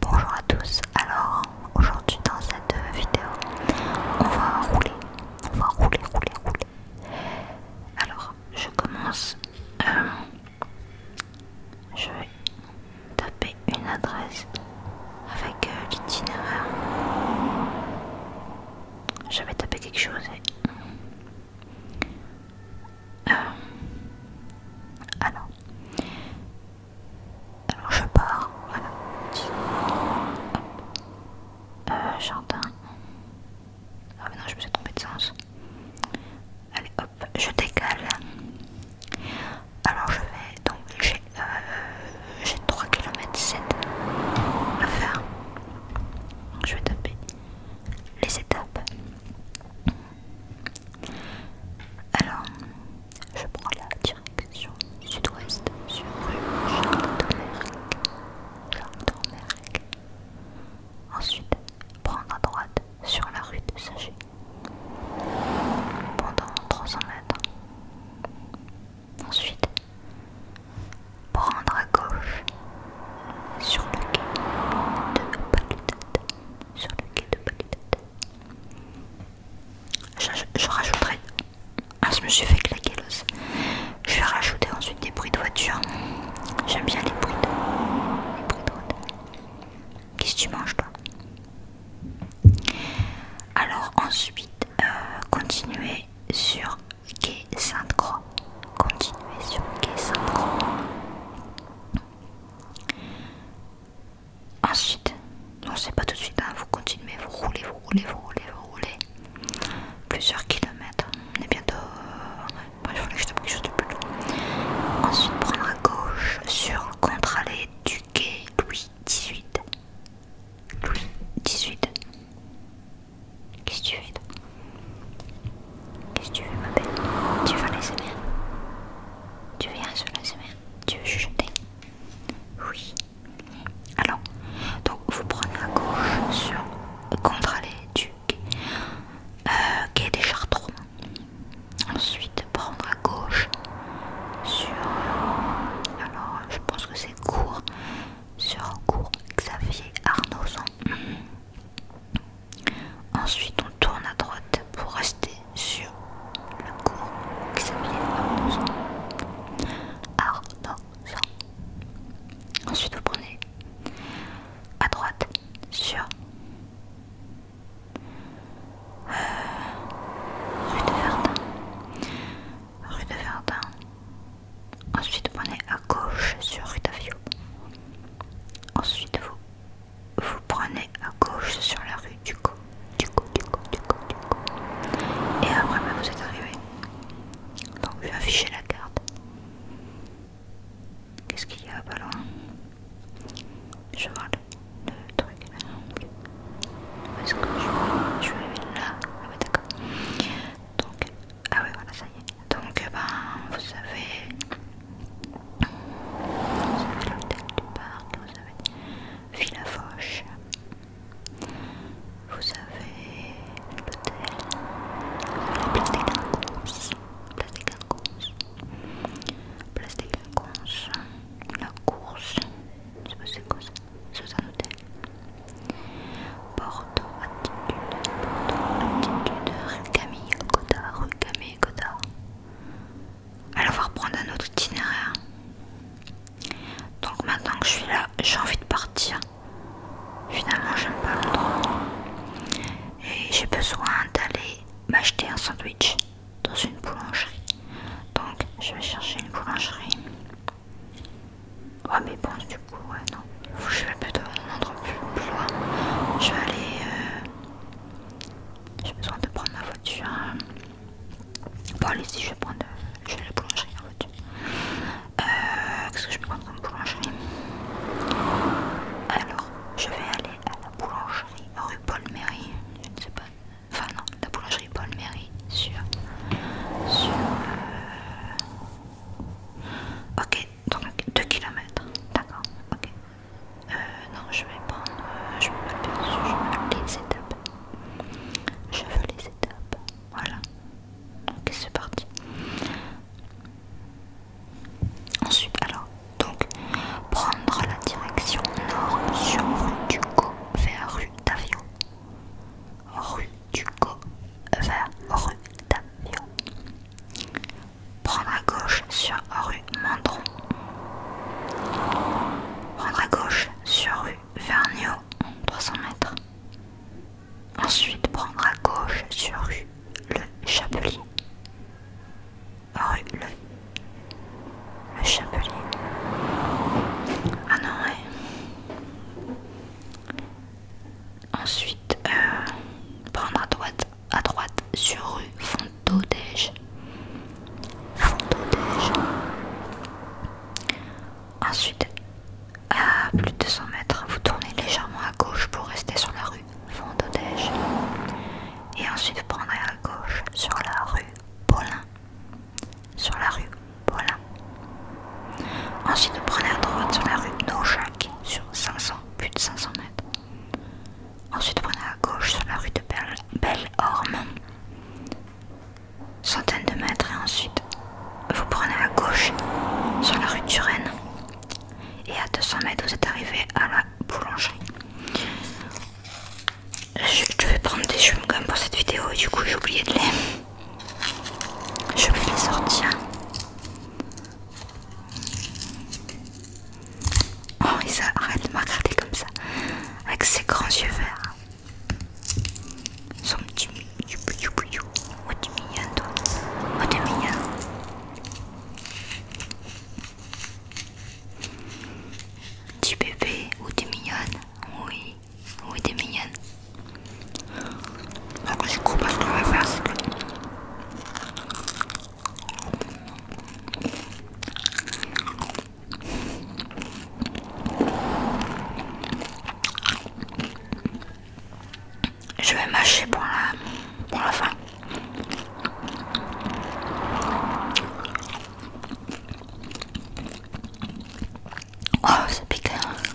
Bonjour à tous, alors aujourd'hui dans cette vidéo on va rouler, on va rouler, rouler, rouler. Alors je commence, euh, je vais taper une adresse avec euh, l'itinéraire. Je vais taper quelque chose et... Euh, alors, alors je pars, voilà. Euh, jardin. Ah mais non, je me suis trompée de sens. Allez hop, je décale. Alors je vais donc j'ai euh, 3 km 7 à faire. Je vais taper les étapes. Alors, je prends la direction sud-ouest sur rue Jean domergue Ensuite, prendre à droite sur la rue de Sager pendant 300 mètres. Ensuite, prendre à gauche sur le quai de Paludette sur le quai de Je, rajouterai. Ah, je me suis fait claquer l'os. Je vais rajouter ensuite des bruits de voiture. J'aime bien les bruits de, bruits de Qu'est-ce que tu manges, toi Alors, ensuite, euh, continuer sur quai Sainte-Croix. Continuer sur quai Sainte-Croix. Ensuite, non c'est pas tout de suite, hein, vous continuez, vous roulez, vous roulez, vous roulez, vous roulez. Plusieurs kilomètres. On est bientôt... il euh, fallait que je tape quelque chose de plus loin. Ensuite, prendre à gauche sur contre-allée du quai Louis XVIII. Louis XVIII Qu'est-ce que tu fais Qu'est-ce que tu veux ma belle Tu veux les Tu viens sur les semaine Tu veux chuchoter Oui. Alors, donc vous prenez à gauche sur contre les ducs, euh, des Chartrons. Ensuite prendre à gauche sur alors je pense que c'est court sur cours Xavier Arnaudson. Ensuite, on tourne à droite pour rester sur la cours Xavier Arnaud. Ensuite, vous prenez à droite sur euh, rue de Verdun. Rue de Verdun. Ensuite, vous prenez à gauche sur rue d'Avio. Ensuite, vous vous prenez à gauche sur la rue du coup, du coup, du coup, du coup, Et après, bah, vous êtes arrivé. Donc, je vais afficher la carte. Qu'est-ce qu'il y a pas loin Je vois le, le truc là Est-ce que je, je vais là Ah, ouais, d'accord. Donc, ah, oui, voilà, ça y est. Donc, eh ben, vous savez. Vous avez l'hôtel du parc, vous avez Villa Foch, vous avez l'hôtel, la place des La place des Quinconces, la course, je sais pas c'est quoi ça, c'est un hôtel. Porto Attitude, Porto Attitude, rue Camille Cotard, rue Camille. Alors voir prendre reprendre un autre itinéraire. Donc maintenant que je suis là, j'ai envie de partir. Finalement j'aime pas Londres. Et j'ai besoin d'aller m'acheter un sandwich dans une boulangerie. Donc je vais chercher une boulangerie. oh mais bon du coup ouais non. Je vais plutôt m'entendre plus, loin. Je vais aller euh, j'ai besoin de prendre ma voiture. Bon, allez, si je vais prendre. Je la boulangerie ma voiture. Euh, Qu'est-ce que je peux prendre comme boulangerie Alors, je vais aller à la boulangerie rue Paul-Méry. Je ne sais pas. Enfin, non, la boulangerie Paul-Méry sur. sur euh, Ok, donc 2 km, d'accord, ok. Euh, non, je vais prendre. Euh, je, vais je veux les étapes. Je veux les étapes. Voilà. Ok, c'est parti. Ensuite, alors, donc, prendre la direction nord sur rue du Go vers rue d'Avion. Rue du Go vers rue d'Avio. Prendre à gauche sur rue Mandron. Prendre à gauche sur rue Vergniaud, 300 mètres. Ensuite, prendre à gauche sur rue Le Chapelier. Rue Le, Chapelier. Ah non, ouais. Ensuite, euh, prendre à droite à droite sur rue Fontaudège. Ensuite, à plus de 200 mètres, vous tournez légèrement à gauche pour rester sur la rue Fontaudège. Et ensuite, vous prendrez à gauche sur la rue Paulin. Sur la rue Paulin. Ensuite, vous prenez à droite sur la rue Naujac sur 500, plus de 500 mètres. Ensuite vous prenez à gauche sur la rue de Belle-Orme, centaines de mètres, et ensuite vous prenez à gauche sur la rue de Turenne. Et à 200 mètres, vous êtes arrivé à la boulangerie. Je, devais vais prendre des chewing comme pour cette vidéo du coup j'ai oublié de les... Je vais les sortir. Oh, Isa, arrête de me regarder comme ça, avec ses grands yeux verts. Son petit Où oh, tu mignon, toi. Oh, tu mignon. Petit bébé, ou oh, tu mignonne. Oui, oui, t'es mignonne. Donc, du coup, ce qu'on va faire, c'est je vais mâcher pour la, pour la fin. Oh, c'est piquant. Hein.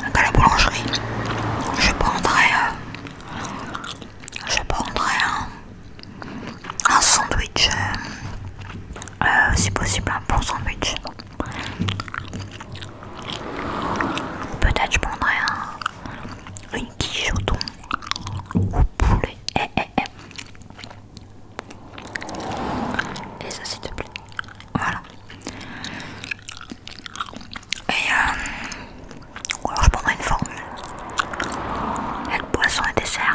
Donc à la boulangerie, je prendrai, euh, je prendrai un, sandwich, euh, euh, si possible un bon sandwich. Peut-être je prendrai un, une quiche au thon ou poulet. Eh, eh, eh. Et ça s'il te plaît. Voilà. Et euh, alors je prendrai une formule. Avec poisson et dessert.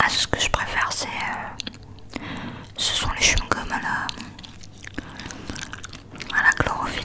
À ah, ce que je préfère, c'est. Euh, ce sont les chewing-gums à la. chlorophylle.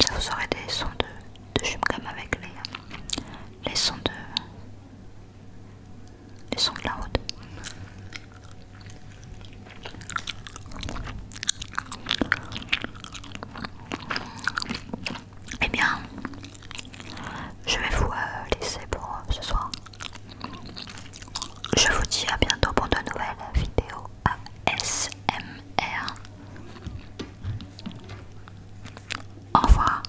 Ça vous aurez des sons de, de chum comme avec les, les sons de de route Et eh bien, je vais vous euh, laisser pour euh, ce soir. Je vous dis à bientôt pour de nouvelles vidéos ASMR. Au revoir.